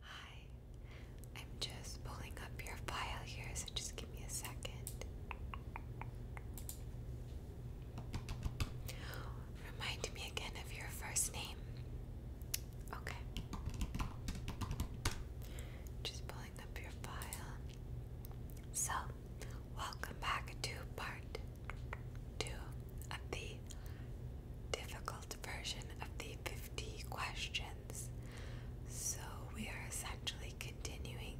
Hi, I'm just pulling up your file here, so just give me a second. Remind me again of your first name. Okay. Just pulling up your file. So, welcome back to part two of the difficult version of the 50 questions. So we are essentially continuing.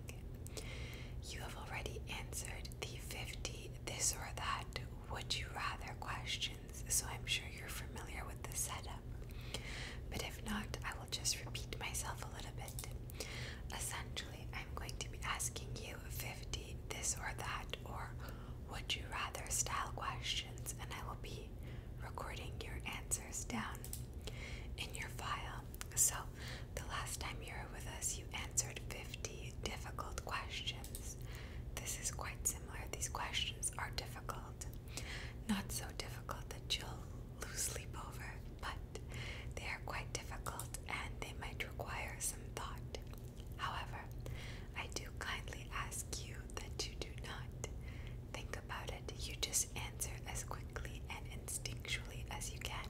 You have already answered the 50 this or that would you rather questions, so I'm sure you're familiar with the setup. But if not, I will just repeat myself a little bit. Essentially, I'm going to be asking you 50 this or that, or would you rather style questions, and I will be recording your answers down in your file. So, the last time you were with us, you answered 50 difficult questions. This is quite similar. These questions are difficult. Not so difficult that you'll lose sleep over, but they are quite difficult and they might require some thought. However, I do kindly ask you that you do not think about it. You just answer as quickly and instinctually as you can.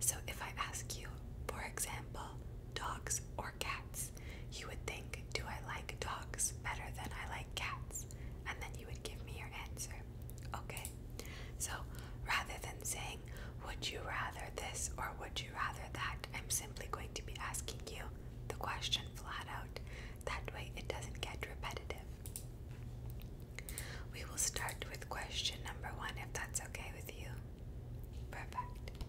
So if I ask you, for example, dogs or cats, you would think, do I like dogs better than I like cats? And then you would give me your answer. Okay? So rather than saying, would you rather this or would you rather that, I'm simply going to be asking you, the question flat out. That way it doesn't get repetitive. We will start with question number one if that's okay with you. Perfect.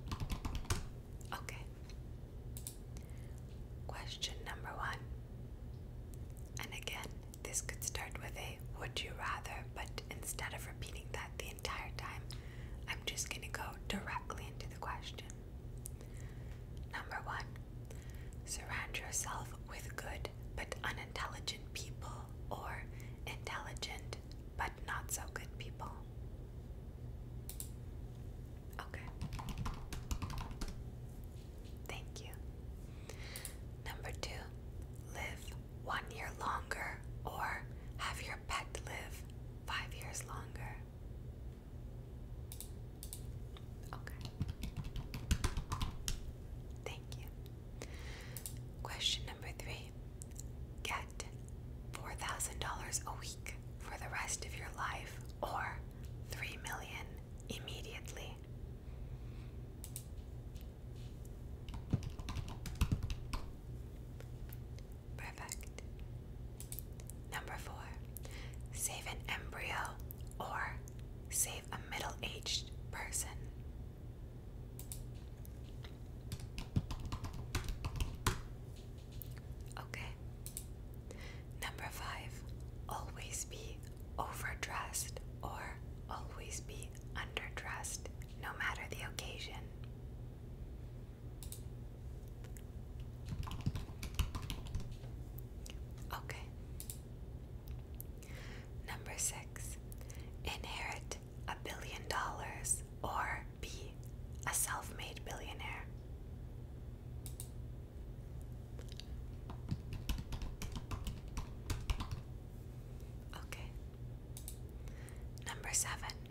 Okay. Question number one. And again, this could start with a would you rather, but instead of repeating that the entire time, I'm just going to go directly into the question. Number one, surround yourself with good but unintelligent people or intelligent but not so good people. Okay. Thank you. Number two, live one year longer or have your pet live five years longer. Okay. Thank you. Question number three Get $4,000 a week for the rest of your life or $3 million immediately. Perfect. Number four, save an embryo or save a middle aged person. Okay. Number five, always be overdressed or always be underdressed, no matter the occasion. Okay. Number six, inherit a billion dollars or be a self made billionaire. Okay. Number seven,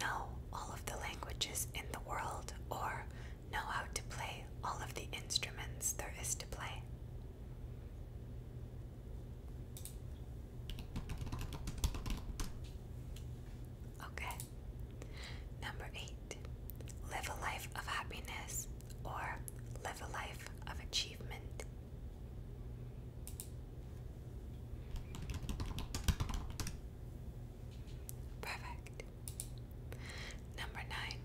know all of the languages in the world, or know how to play all of the instruments there is to play. Okay. Number eight, live a life of happiness or live a life of achievement. Perfect. Number nine,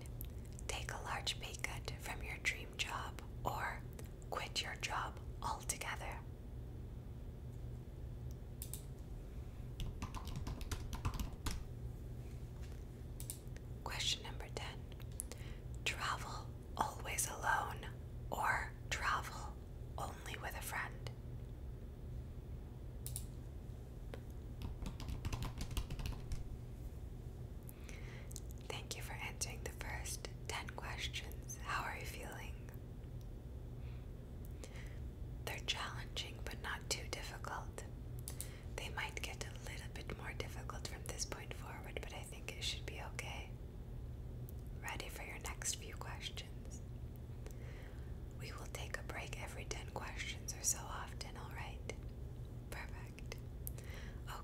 take a large pay cut from your dream job or quit your job altogether. Question number 10 Travel always alone or travel only with a friend. Thank you for answering the first 10 questions. How are you feeling? They're challenging but not too difficult. They might get a little bit more difficult from this point forward, but I think it should be okay. Ready for your next few questions. We will take a break every 10 questions or so often, alright? Perfect.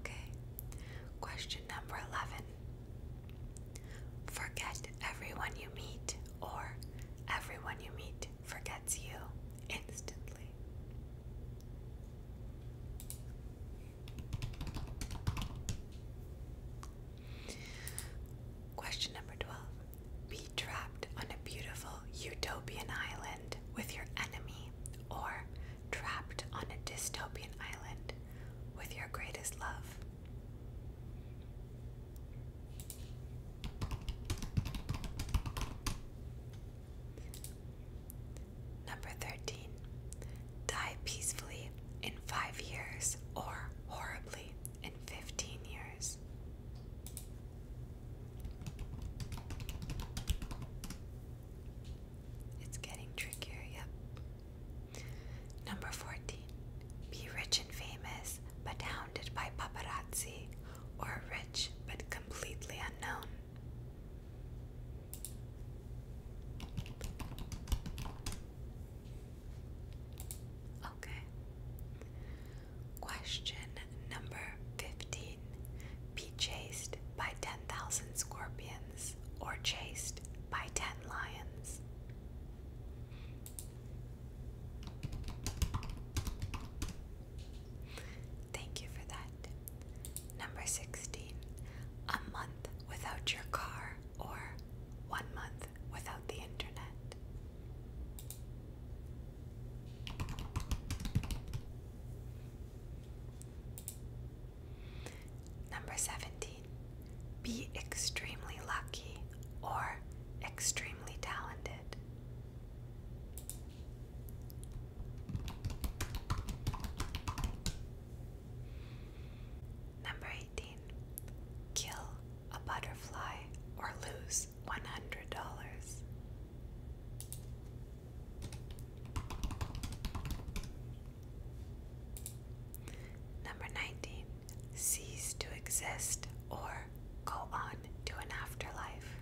Okay. Question number 11. Forget everyone you meet, or everyone you meet forgets you instantly. Question number 12. Be trapped on a beautiful utopian island with your enemy, or trapped on a dystopian island with your greatest love. Number 13. Die peacefully in five years or horribly in 15 years. It's getting trickier, yep. Number 14. Be rich and famous, but hounded by paparazzi, or rich but completely unknown. Okay. Question number 15. Be chased by 10,000 scorpions or chased by 10 lions. Thank you for that. Number 16. A month without your car or one month without the internet. Number 17. Be extremely lucky or extremely talented. Number 19. Kill a butterfly or lose $100. Number 19. Cease to exist or go on to an afterlife.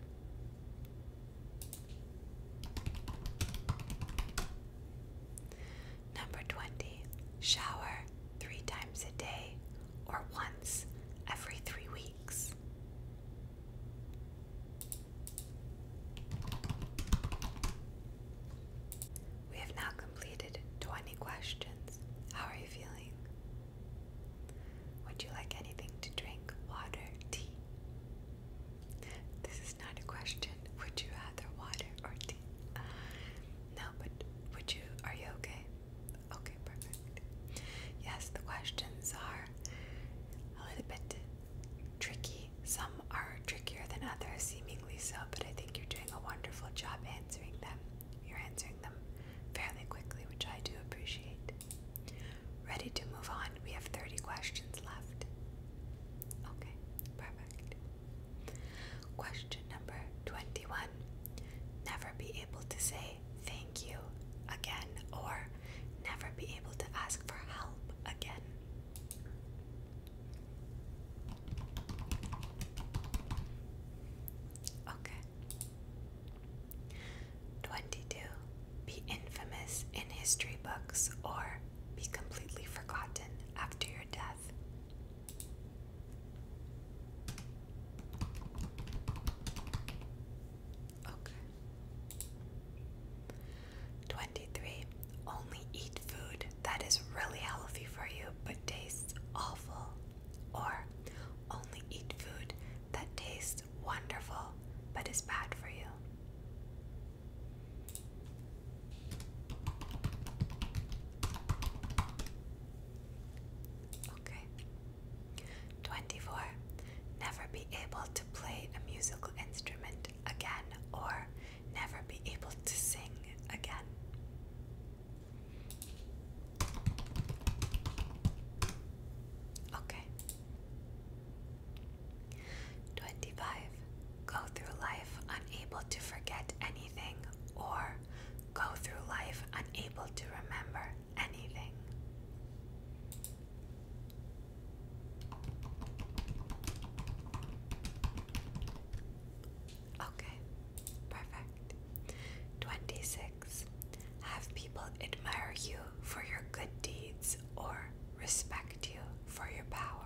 Number 20. Shower three times a day or once every three weeks. We have now completed 20 questions. How are you feeling? Would you like anything to drink? Water, tea? This is not a question. Would you rather water or tea? No, but would you? Are you okay? Okay, perfect. Yes, the questions are a little bit tricky. Some are trickier than others, seemingly so, but I think you're doing a wonderful job answering them. You're answering them fairly quickly, which I do appreciate. Ready to move on? We have 30 questions left. Okay, perfect. Question number 21. Never be able to say thank you again or never be able to ask for help again. Okay. 22. Be infamous in history books or be completely forgotten after your death. Okay. 23. Only eat food that is really healthy for you but tastes awful. Or only eat food that tastes wonderful but is bad for you. Okay. 24. Never be able to play a musical instrument again or never be able to sing again. Okay. 25. Go through life unable to forget anything or go through life unable to remember anything. Okay, perfect. 26. Have people admire you for your good deeds or respect you for your power.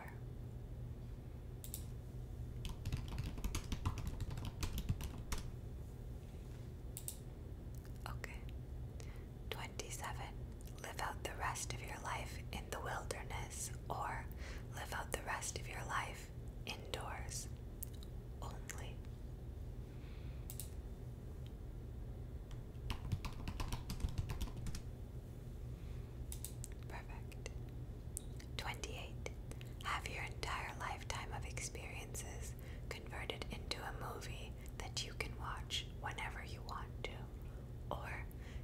Okay. 27. Live out the rest of your life in the wilderness or live out the rest of your life indoors only. Perfect. 28. Have your entire lifetime of experiences converted into a movie that you can watch whenever you want to. Or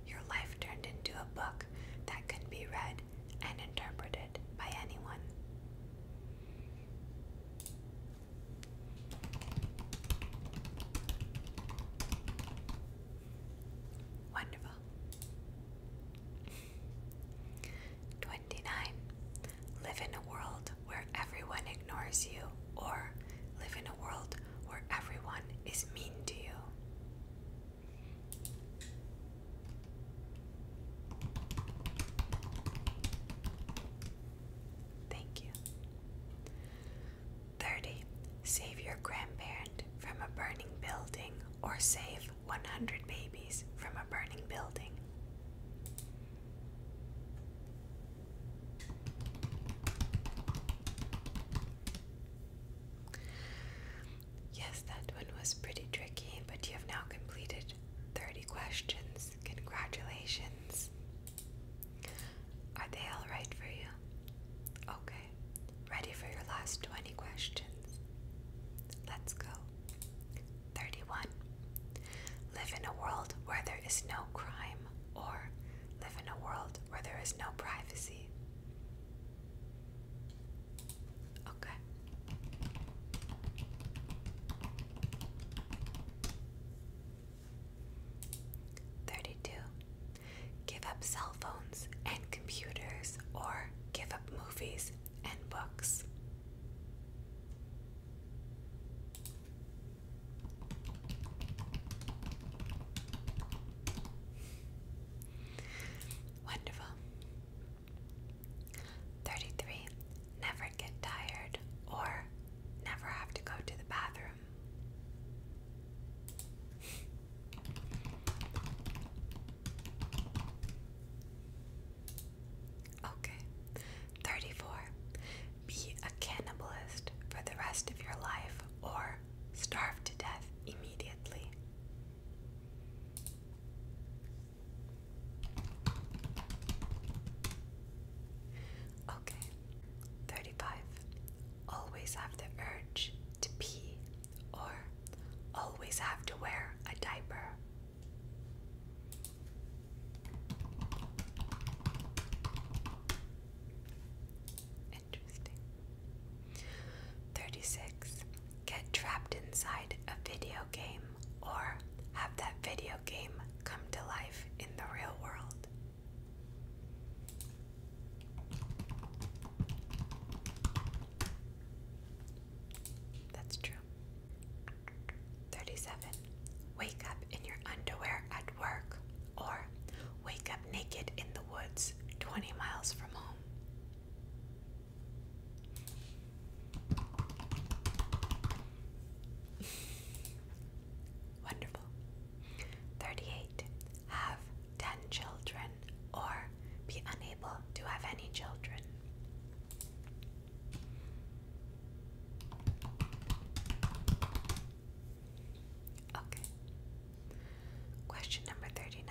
your life turned into a book that can be read and interpreted by anyone. Wonderful. 29. Live in a world where everyone ignores you, or live in a world where everyone is mean to you. Thank you. 30. Save your grandparent from a burning building or save 100 babies from a burning building. Yes, that one was pretty tricky, but you have now completed 30 questions. Congratulations. Are they all right for you? Okay. Ready for your last 20 questions. Let's go. 31. Live in a world where there is no crime, or live in a world where there is no privacy. Okay. Thirty-two. Give up cell phones and computers, or give up movies and books. Wonderful. 33. Never get tired or never have to go to the bathroom. Okay. 34. Be a cannibalist for the rest of your life or starve to death immediately. Okay. 35. Always have the urge to pee or always have to wear a diaper. Interesting. 36. Get trapped inside a video game or have that video game come to life in the real world. That's true. 37. Wake up in your underwear at work or wake up naked in the woods 20 miles from home. Wonderful. 38. Have 10 children or be unable to have any children. Okay. Question number 39.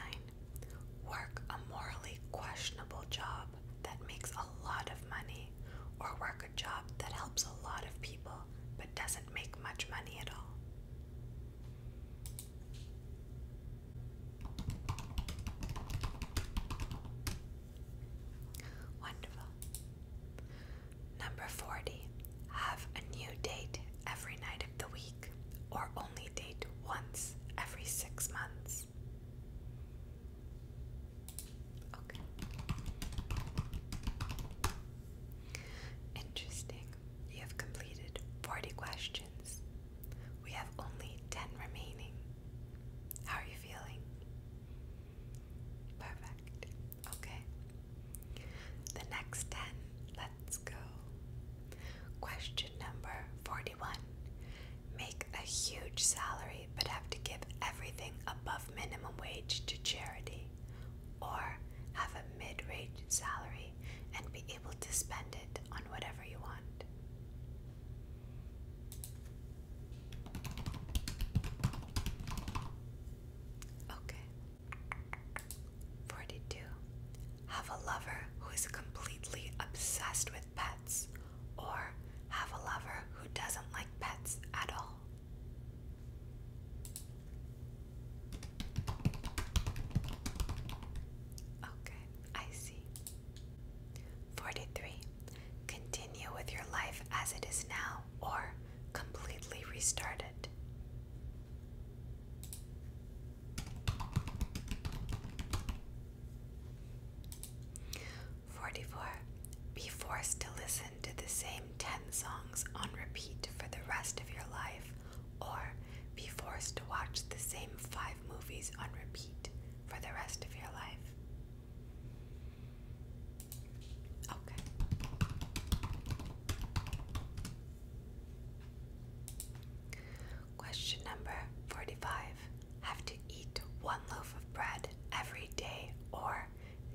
Work a morally questionable job that makes a lot of money, or work a job that helps a lot of people but doesn't make much money at all. Wonderful. Number 40. Have a new date every night of the week or only date once every six months. Okay. Interesting. You have completed 40 questions. We have only 10 remaining. How are you feeling? Perfect. Okay. The next 10. Let's go. Question number 41. Make a huge salary but have to give everything above minimum wage to charity, or have a mid range salary and be able to spend it on whatever you want. Okay. 42. Have a lover who is completely obsessed with pets, or have a lover who doesn't like pets at all. Okay, I see. 43. Continue with your life as it is now or completely restart it. Forty-four. Be forced to listen to the same ten songs on repeat for the rest of your life, or be forced to watch the same five movies on repeat for the rest of your life. Okay. Question number 45. Have to eat one loaf of bread every day or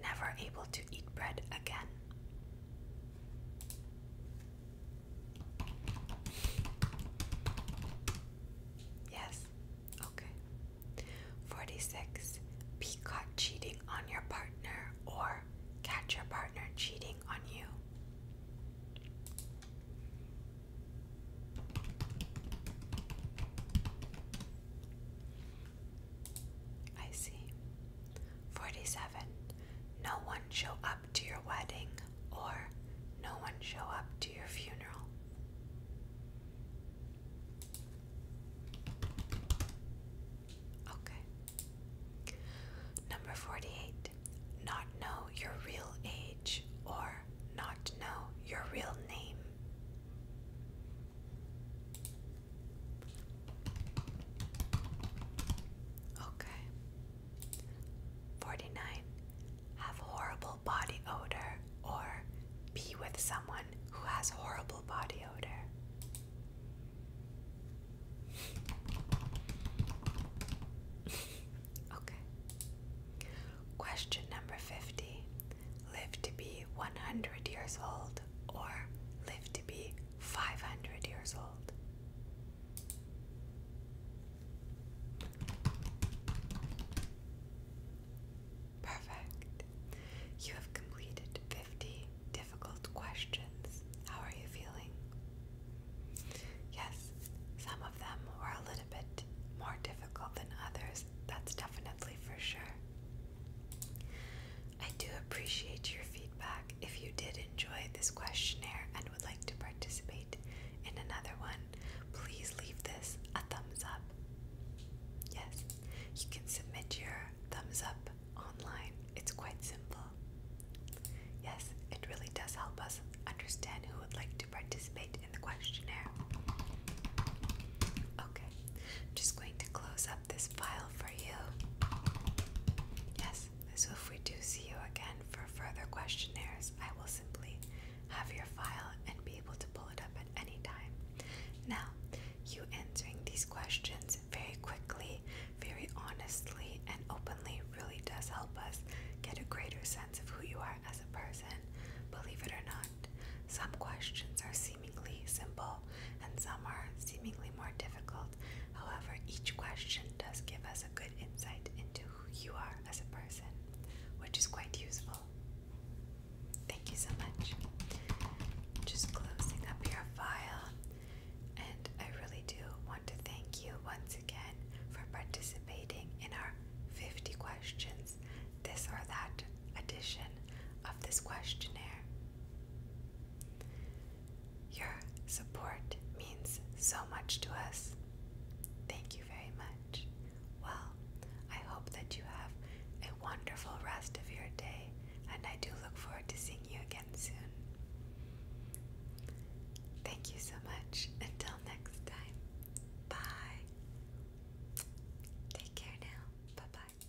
never able to eat bread again. Yes. Okay. 46. Be caught cheating on your partner or catch your partner cheating on you. I see. 47. No one show up to your wedding or no one show up to your funeral. Okay. Number 48. Not know your real age or not know your real name. Okay. 49. Have horrible body odor or be with someone who has horrible body odor. okay. Question number 50. Live to be 100 years old or live to be 500 years old. Perfect. You have completed 50 difficult questions. How are you feeling? Yes, some of them were a little bit more difficult than others. That's definitely for sure. I do appreciate your feedback. If you did enjoy this questionnaire and would like to participate in another one, please leave this a thumbs up. Yes, you can submit your thumbs up online. It's quite simple. Yes, it really does help us understand who would like to participate in the questionnaire. Okay, I'm just going to close up this file for you. Yes, so if we do see you again for further questionnaires, I will simply have your file, and be able to pull it up at any time. Now, you answering these questions very quickly, very honestly, and openly really does help us get a greater sense of who you are as a person, believe it or not. Some questions are seemingly simple and some are seemingly more difficult. However, each question does give us a good insight into you are as a person, which is quite useful. Thank you so much. Just closing up your file, and I really do want to thank you once again for participating in our 50 questions, this or that edition of this questionnaire. Your support means so much to us. Thank you very much. Well, I hope that you have a wonderful rest of your day, and I do look forward to seeing you again soon. Thank you so much. Until next time. Bye. Take care now. Bye bye.